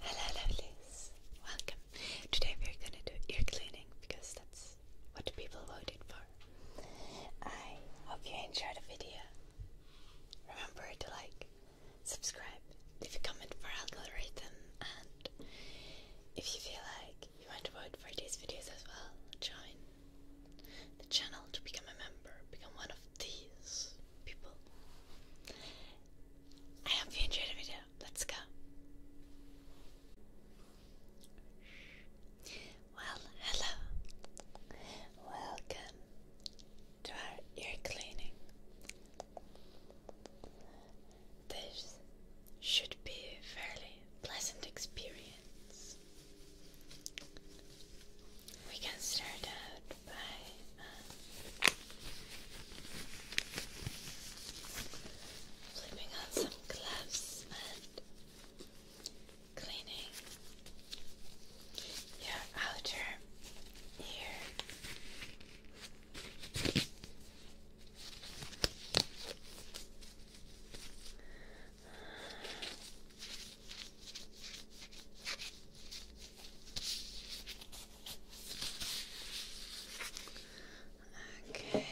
Hello lovelies, welcome. Today we're gonna do ear cleaning because that's what people voted for. I hope you enjoyed the video. Remember to like, subscribe, leave a comment for algorithm and if you feel like you want to vote for these videos as well, join the channel to become a member, become one of these people. I hope you enjoyed the video. Let's go. Well, hello. Welcome to our ear cleaning. This should be a fairly pleasant experience. We can start out by flipping on some gloves and cleaning your outer ear. Okay.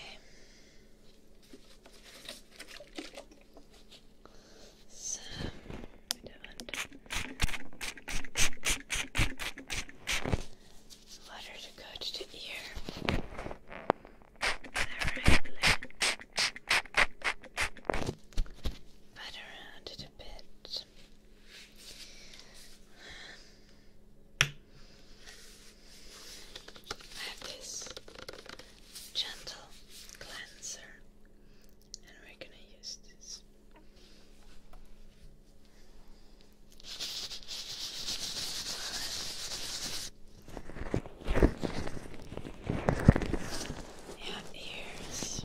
So we to go to the ear. Directly. Pat around it a bit. I have this gentle cleanser, and we're gonna use this and ears.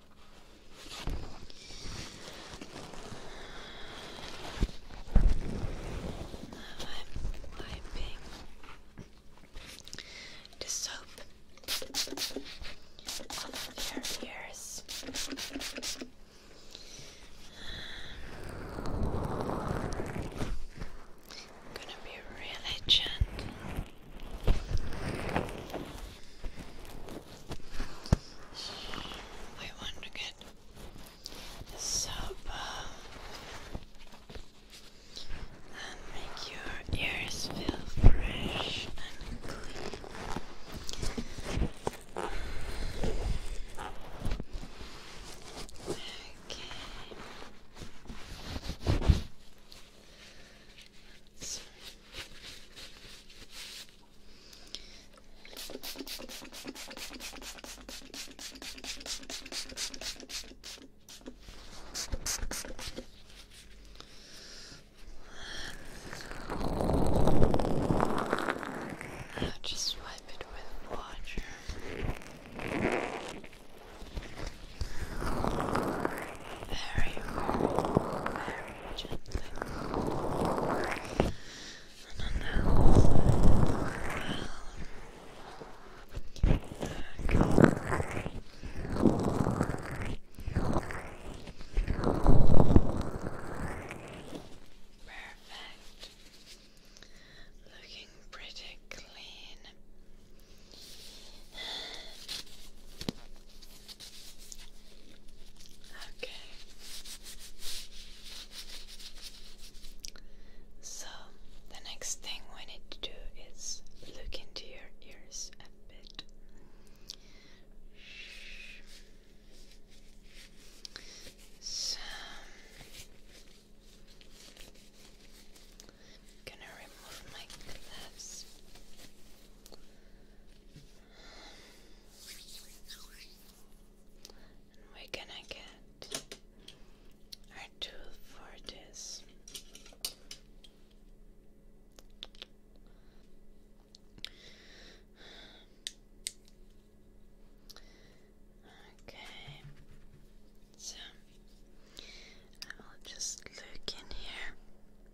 Now I'm wiping the soap off your ears. I'm gonna be really gentle. I want to get soap uh, and make your ears feel fresh and clean. Okay. I'll just wipe it with water very warm, very gently. And then Perfect. Looking pretty clean. Okay. So, the next thing we need to do is look into your ears a bit. So, I'm gonna remove my gloves we're gonna get our tool for this. Okay, so I will just look in here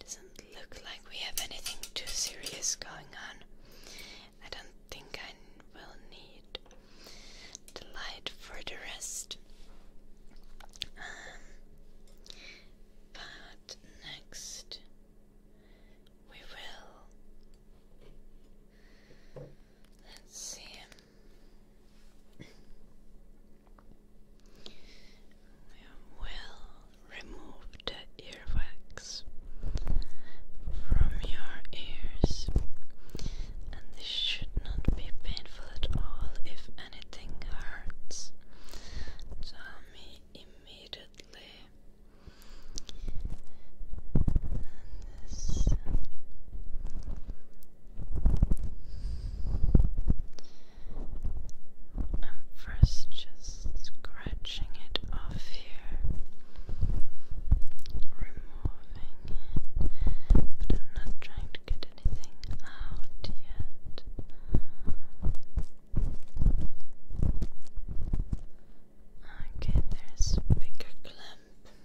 Doesn't look like we have anything too serious going on. I don't think I will need the light for the rest. Um, but next we will Let's see. We will remove the earwax from your ears, and this should not be painful at all. If anything hurts, tell me immediately. And this. I'm first just scratching it off here, removing it, but I'm not trying to get anything out yet. Okay, there's a bigger clump.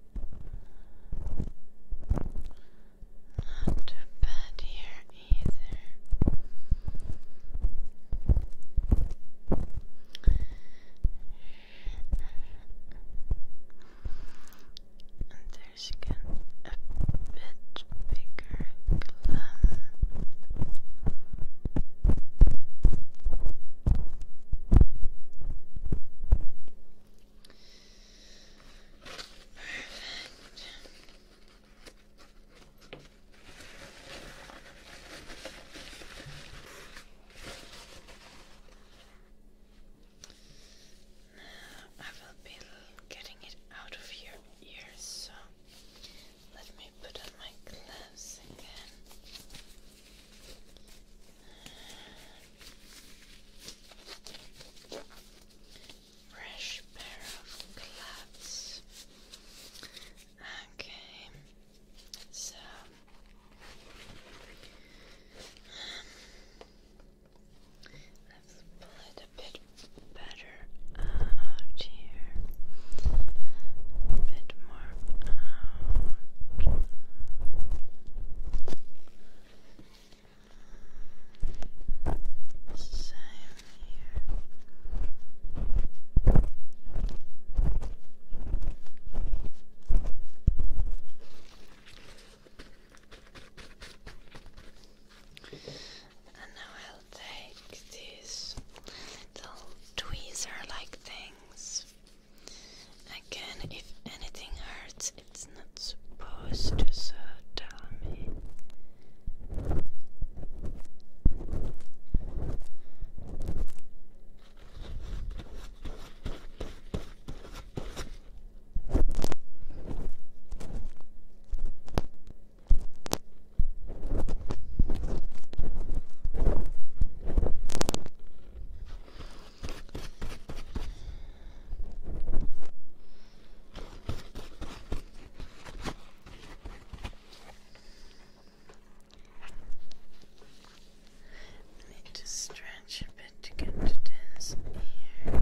Not too bad here either. And there's again a bit bigger clump. Perfect. Now I will be getting it out of your ears, so let me put on my gloves again. Fresh pair of gloves. Okay, so let's pull it a bit better out here, a bit more out. And now I'll take these little tweezer like things Again, if anything hurts, it's not supposed to, so tell me. I need to stretch a bit to get to this ear.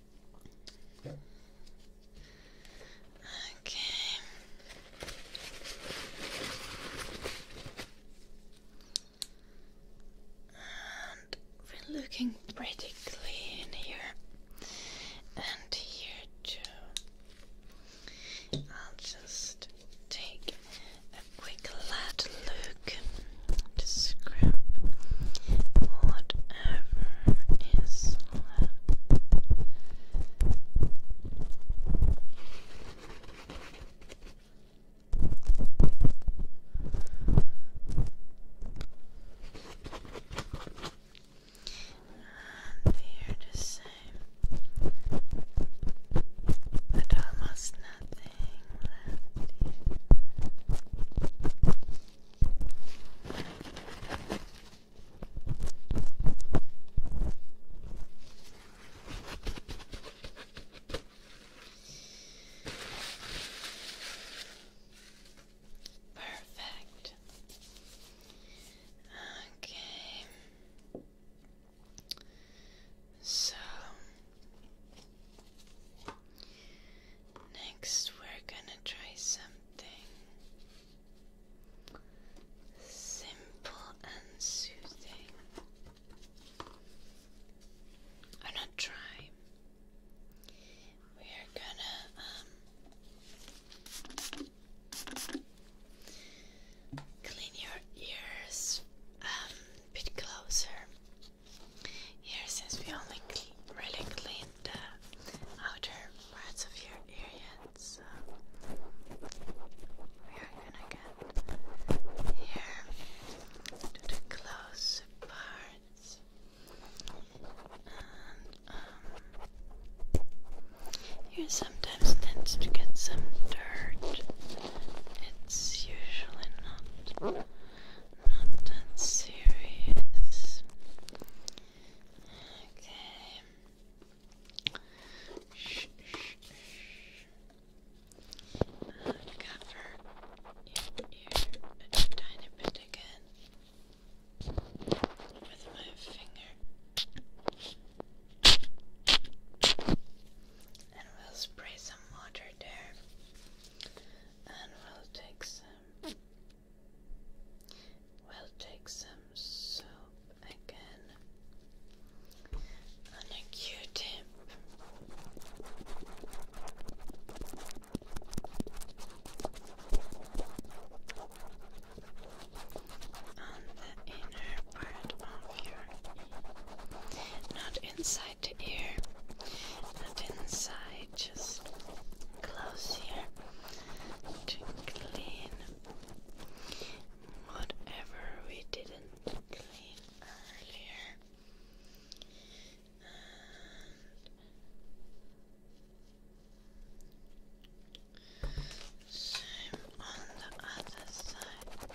Okay. we're looking pretty clean here. And here too. I'll just take a quick lad look to scrap what whatever is left. And here to say that almost nothing left Perfect. Okay. So Next, we're gonna try something simple and soothing. i not trying. We are gonna um, clean your ears um, a bit closer. Here, since we only really cleaned the outer parts of your ear yet, so we are gonna get here the close parts. Um, here sometimes tends to get some dirt. It's usually not not that serious. Okay. Shh, shh, cover your ear a tiny bit again with my finger, and we'll spray some water there, and we'll take some we'll take some soap again on a Q-tip. On the inner part of your not inside side to inside. Just close here to clean whatever we didn't clean earlier. same on the other side.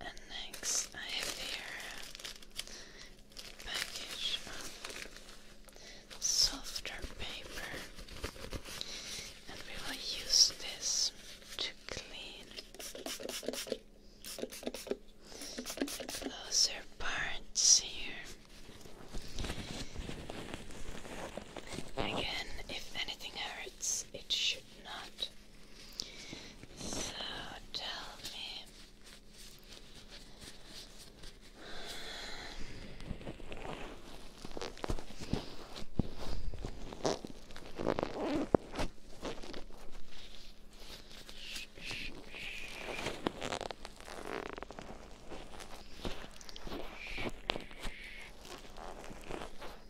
And next, I have here a package of softer paper, and we will use this to clean those closer parts here. Again, if anything it should not. So tell me.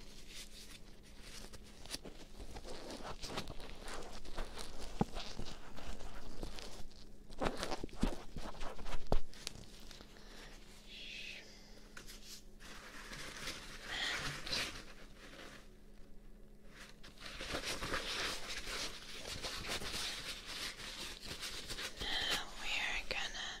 Now we are gonna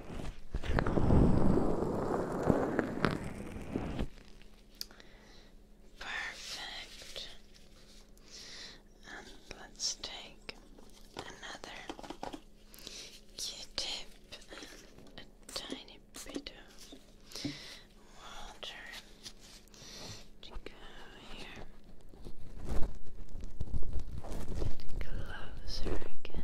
Perfect. And let's take another Q-tip a tiny bit of water to go here. Closer again.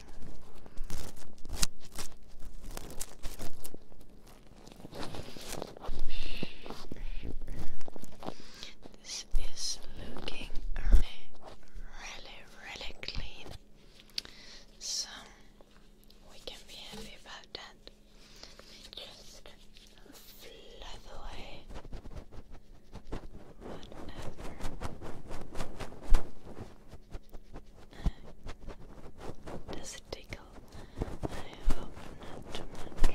This is looking really, really, really clean. So we can be happy about that. Just fluff away does it tickle? I hope not too much.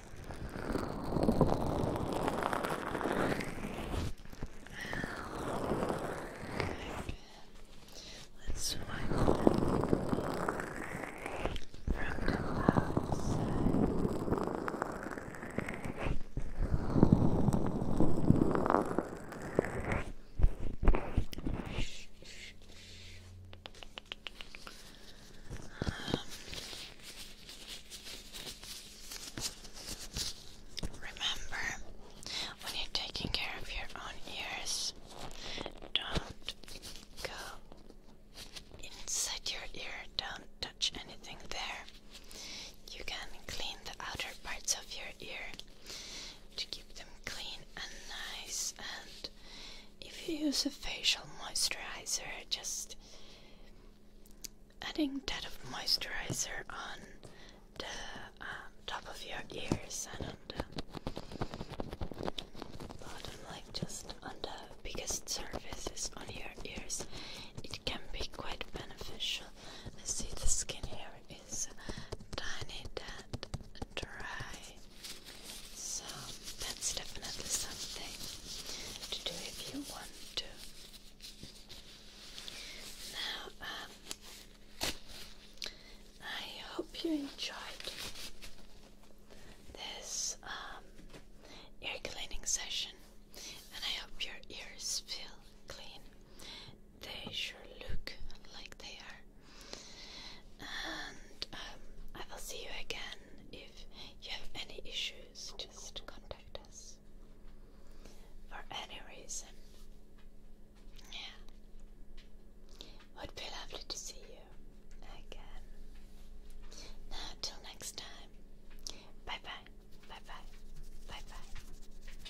Let's wipe it from the outside. Um, Remember, when you're taking care of your own ears, don't go inside your ear, don't touch anything there. You can clean the outer parts of your ear to keep them clean and nice. And if you use a facial moisturizer, just adding that of moisturizer on the uh, top of your ears and on the bottom, like just on the biggest surfaces on your ears, it can be quite beneficial. I see the skin here is tiny, that dry, so that's definitely something to do if you want now, um, I hope you enjoyed this um, ear cleaning session, and I hope your ears feel clean. They sure look like they are. And um, I will see you again if you have any issues, just contact us for any reason. Yeah, would be lovely to see you again. Now, till next time, bye bye, bye bye, bye bye.